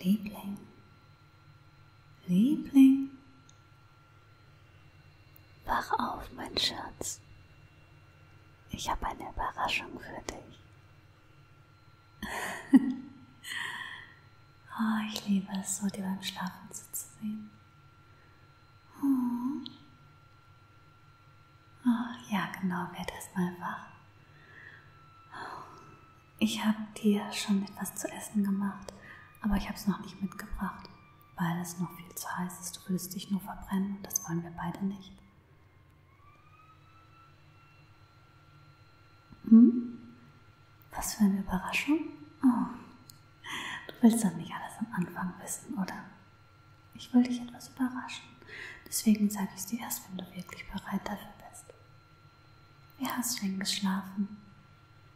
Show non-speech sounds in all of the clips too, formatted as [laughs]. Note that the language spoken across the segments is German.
Liebling, Liebling, wach auf, mein Schatz. Ich habe eine Überraschung für dich. [laughs] oh, ich liebe es so, dir beim Schlafen zuzusehen. Oh. Ach, ja, genau, werd erstmal wach. Ich habe dir schon etwas zu essen gemacht, aber ich habe es noch nicht mitgebracht, weil es noch viel zu heiß ist. Du würdest dich nur verbrennen und das wollen wir beide nicht. Hm? Was für eine Überraschung? Oh. Du willst doch nicht alles am Anfang wissen, oder? Ich will dich etwas überraschen. Deswegen sage ich es dir erst, wenn du wirklich bereit dafür bist. Wie hast du denn geschlafen?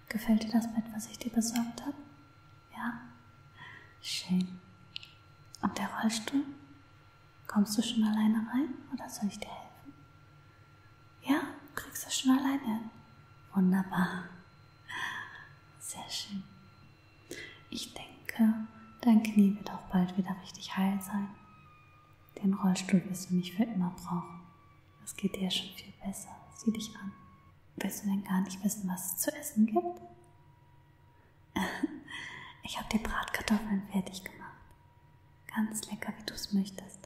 Gefällt dir das Bett, was ich dir besorgt habe? Ja? Schön. Und der Rollstuhl? Kommst du schon alleine rein oder soll ich dir helfen? Ja, kriegst du schon alleine hin. Wunderbar. Sehr schön. Ich denke, dein Knie wird auch bald wieder richtig heil sein. Den Rollstuhl wirst du nicht für immer brauchen. Es geht dir schon viel besser. Sieh dich an. Willst du denn gar nicht wissen, was es zu essen gibt? [laughs] ich habe dir Bratkartoffeln fertig gemacht. Ganz lecker, wie du es möchtest.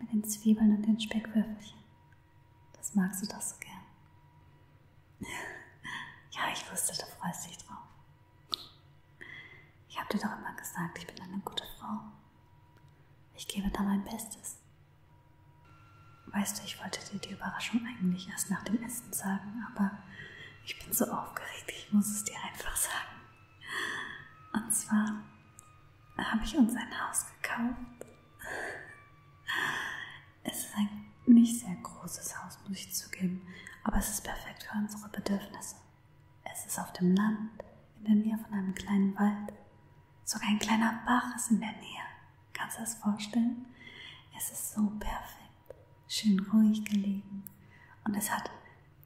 Mit den Zwiebeln und den Speckwürfelchen. Das magst du doch so gern. [laughs] ja, ich wusste, du freust dich drauf. Ich habe dir doch immer gesagt, ich bin eine gute Frau. Ich gebe da mein Bestes. Weißt du, ich wollte dir die Überraschung eigentlich erst nach dem Essen sagen, aber ich bin so aufgeregt, ich muss es dir einfach sagen. Und zwar habe ich uns ein Haus gekauft es ist ein nicht sehr großes Haus, muss ich zugeben, aber es ist perfekt für unsere Bedürfnisse. Es ist auf dem Land, in der Nähe von einem kleinen Wald. Sogar ein kleiner Bach ist in der Nähe. Kannst du das vorstellen? Es ist so perfekt, schön ruhig gelegen. Und es hat,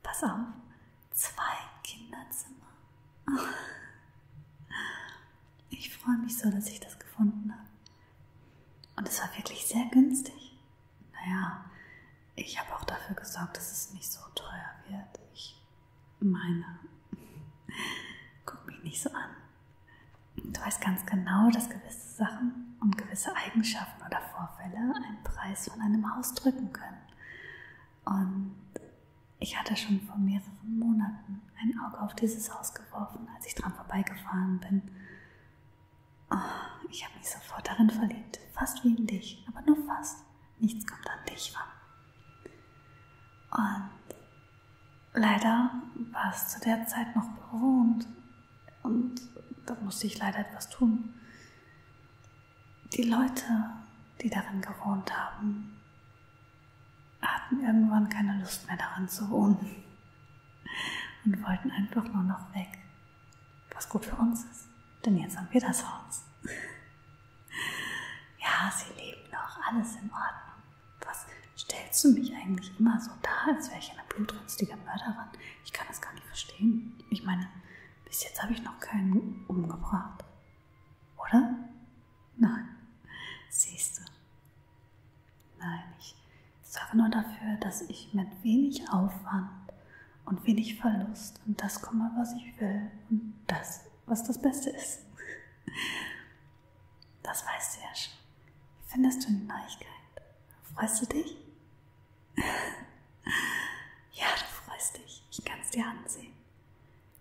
pass auf, zwei Kinderzimmer. [laughs] Ich freue mich so, dass ich das gefunden habe. Und es war wirklich sehr günstig. Naja, ich habe auch dafür gesorgt, dass es nicht so teuer wird. Ich meine, [laughs] guck mich nicht so an. Du weißt ganz genau, dass gewisse Sachen und gewisse Eigenschaften oder Vorfälle einen Preis von einem Haus drücken können. Und ich hatte schon vor mehreren Monaten ein Auge auf dieses Haus geworfen, als ich dran vorbeigefahren bin. Oh, ich habe mich sofort darin verliebt, fast wie in dich, aber nur fast. Nichts kommt an dich ran. Und leider war es zu der Zeit noch bewohnt und da musste ich leider etwas tun. Die Leute, die darin gewohnt haben, hatten irgendwann keine Lust mehr daran zu wohnen und wollten einfach nur noch weg. Was gut für uns ist, denn jetzt haben wir das Haus. Ja, sie leben noch, alles in Ordnung. Was stellst du mich eigentlich immer so da, als wäre ich eine blutrünstige Mörderin? Ich kann das gar nicht verstehen. Ich meine, bis jetzt habe ich noch keinen umgebracht. Oder? Nein. Siehst du, Nein, ich sorge nur dafür, dass ich mit wenig Aufwand und wenig Verlust und das komme, was ich will und das, was das Beste ist. Das weißt du ja schon. Wie findest du die Neuigkeit? Freust du dich? [laughs] ja, du freust dich. Ich kann es dir ansehen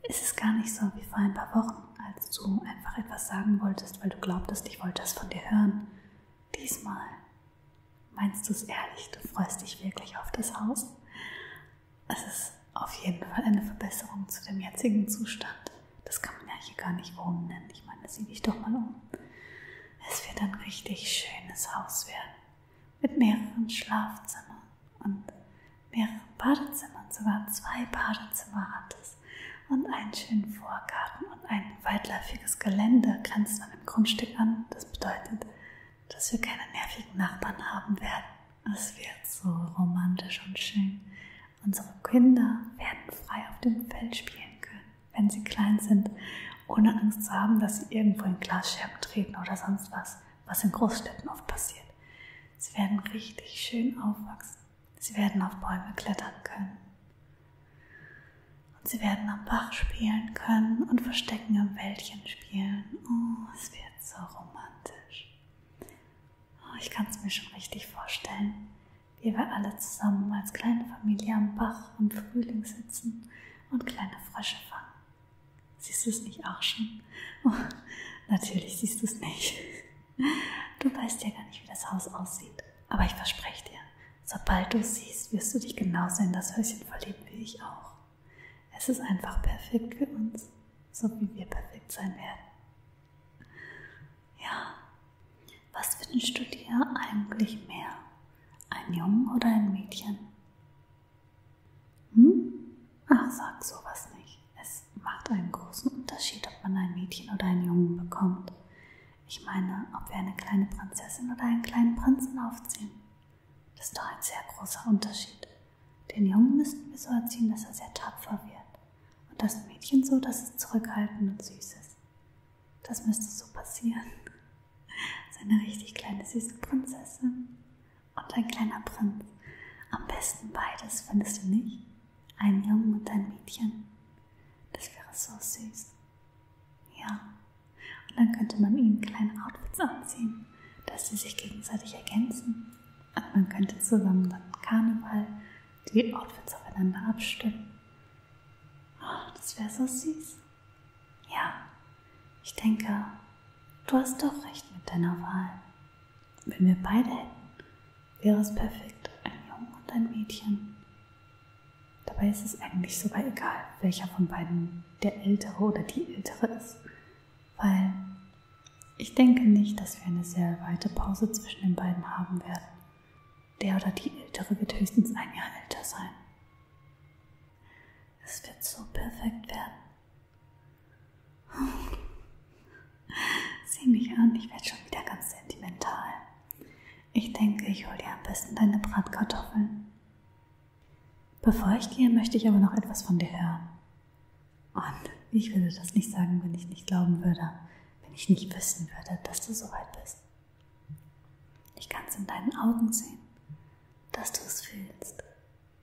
ist es gar nicht so wie vor ein paar Wochen, als du einfach etwas sagen wolltest, weil du glaubtest, ich wollte es von dir hören. Diesmal meinst du es ehrlich, du freust dich wirklich auf das Haus. Es ist auf jeden Fall eine Verbesserung zu dem jetzigen Zustand. Das kann man ja hier gar nicht wohnen nennen. Ich meine, sieh dich doch mal um. Es wird ein richtig schönes Haus werden. Mit mehreren Schlafzimmern und mehrere Badezimmer, sogar zwei Badezimmer hat es und einen schönen Vorgarten und ein weitläufiges Gelände grenzt an dem Grundstück an. Das bedeutet, dass wir keine nervigen Nachbarn haben werden. Es wird so romantisch und schön. Unsere Kinder werden frei auf dem Feld spielen können, wenn sie klein sind, ohne Angst zu haben, dass sie irgendwo in Glasscherben treten oder sonst was, was in Großstädten oft passiert. Sie werden richtig schön aufwachsen Sie werden auf Bäume klettern können. Und sie werden am Bach spielen können und Verstecken im Wäldchen spielen. Oh, es wird so romantisch. Oh, ich kann es mir schon richtig vorstellen, wie wir alle zusammen als kleine Familie am Bach im Frühling sitzen und kleine Frösche fangen. Siehst du es nicht auch schon? Oh, natürlich siehst du es nicht. Du weißt ja gar nicht, wie das Haus aussieht. Aber ich verspreche dir, sobald du es siehst, wirst du dich genauso in das Häuschen verlieben wie ich auch. Es ist einfach perfekt für uns, so wie wir perfekt sein werden. Ja, was wünschst du dir eigentlich mehr? Ein Jungen oder ein Mädchen? Hm? Ach, sag sowas nicht. Es macht einen großen Unterschied, ob man ein Mädchen oder einen Jungen bekommt. Ich meine, ob wir eine kleine Prinzessin oder einen kleinen Prinzen aufziehen. Das ist doch ein sehr großer Unterschied. Den Jungen müssten wir so erziehen, dass er sehr tapfer wird. Und das Mädchen so, dass es zurückhaltend und süß ist. Das müsste so passieren. So [laughs] eine richtig kleine süße Prinzessin und ein kleiner Prinz. Am besten beides, findest du nicht? Ein Jungen und ein Mädchen. Das wäre so süß. Ja. Und dann könnte man ihnen kleine Outfits anziehen, dass sie sich gegenseitig ergänzen. Und man könnte zusammen dann Karneval die Outfits aufeinander abstimmen. Oh, das wäre so süß. Ja, ich denke, Du hast doch recht mit deiner Wahl. Wenn wir beide hätten, wäre es perfekt, ein Junge und ein Mädchen. Dabei ist es eigentlich sogar egal, welcher von beiden der Ältere oder die Ältere ist, weil ich denke nicht, dass wir eine sehr weite Pause zwischen den beiden haben werden. Der oder die Ältere wird höchstens ein Jahr älter sein. Es wird so perfekt werden, Sieh mich an, ich werde schon wieder ganz sentimental. Ich denke, ich hole dir am besten deine Bratkartoffeln. Bevor ich gehe, möchte ich aber noch etwas von dir hören. Und ich würde das nicht sagen, wenn ich nicht glauben würde, wenn ich nicht wissen würde, dass du so weit bist. Ich kann es in deinen Augen sehen, dass du es fühlst,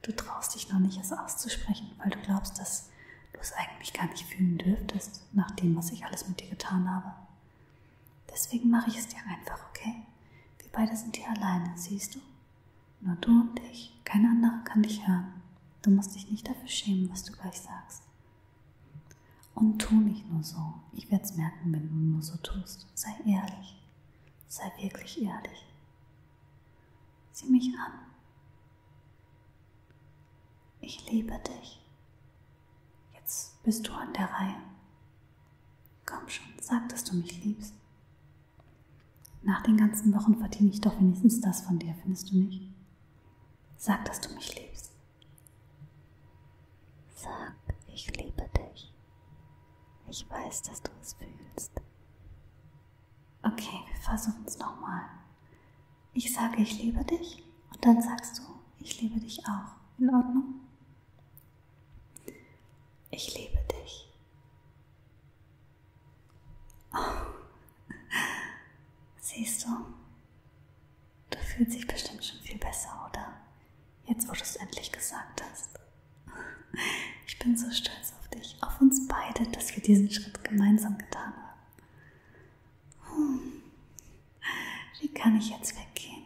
Du traust dich noch nicht, es auszusprechen, weil du glaubst, dass du es eigentlich gar nicht fühlen dürftest, nach dem, was ich alles mit dir getan habe. Deswegen mache ich es dir einfach, okay? Wir beide sind hier alleine, siehst du? Nur du und ich. Kein anderer kann dich hören. Du musst dich nicht dafür schämen, was du gleich sagst. Und tu nicht nur so. Ich werde es merken, wenn du nur so tust. Sei ehrlich. Sei wirklich ehrlich. Sieh mich an. Ich liebe dich. Jetzt bist du an der Reihe. Komm schon, sag, dass du mich liebst. Nach den ganzen Wochen verdiene ich doch wenigstens das von dir, findest du nicht? Sag, dass du mich liebst. Sag, ich liebe dich. Ich weiß, dass du es fühlst. Okay, wir versuchen es nochmal. Ich sage, ich liebe dich und dann sagst du, ich liebe dich auch. In Ordnung? Ich liebe dich. Oh. Siehst du, du fühlst dich bestimmt schon viel besser, oder? Jetzt, wo du es endlich gesagt hast. [laughs] Ich bin so stolz auf dich, auf uns beide, dass wir diesen Schritt gemeinsam getan haben. Hm. Wie kann ich jetzt weggehen?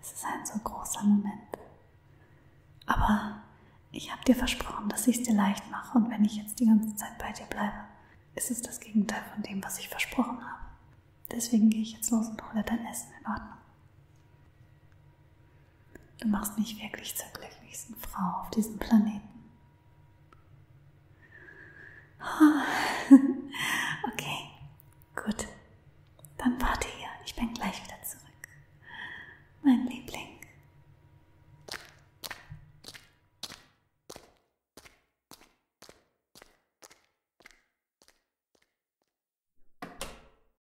Es ist ein so großer Moment. Aber ich habe dir versprochen, dass ich es dir leicht mache und wenn ich jetzt die ganze Zeit bei dir bleibe, ist es das Gegenteil von dem, was ich versprochen habe. Deswegen gehe ich jetzt los und hole dein Essen in Ordnung. Du machst mich wirklich zur glücklichsten Frau auf diesem Planeten. Ah. [laughs] Okay, gut. Dann warte hier. Ich bin gleich wieder zurück. Mein Liebling.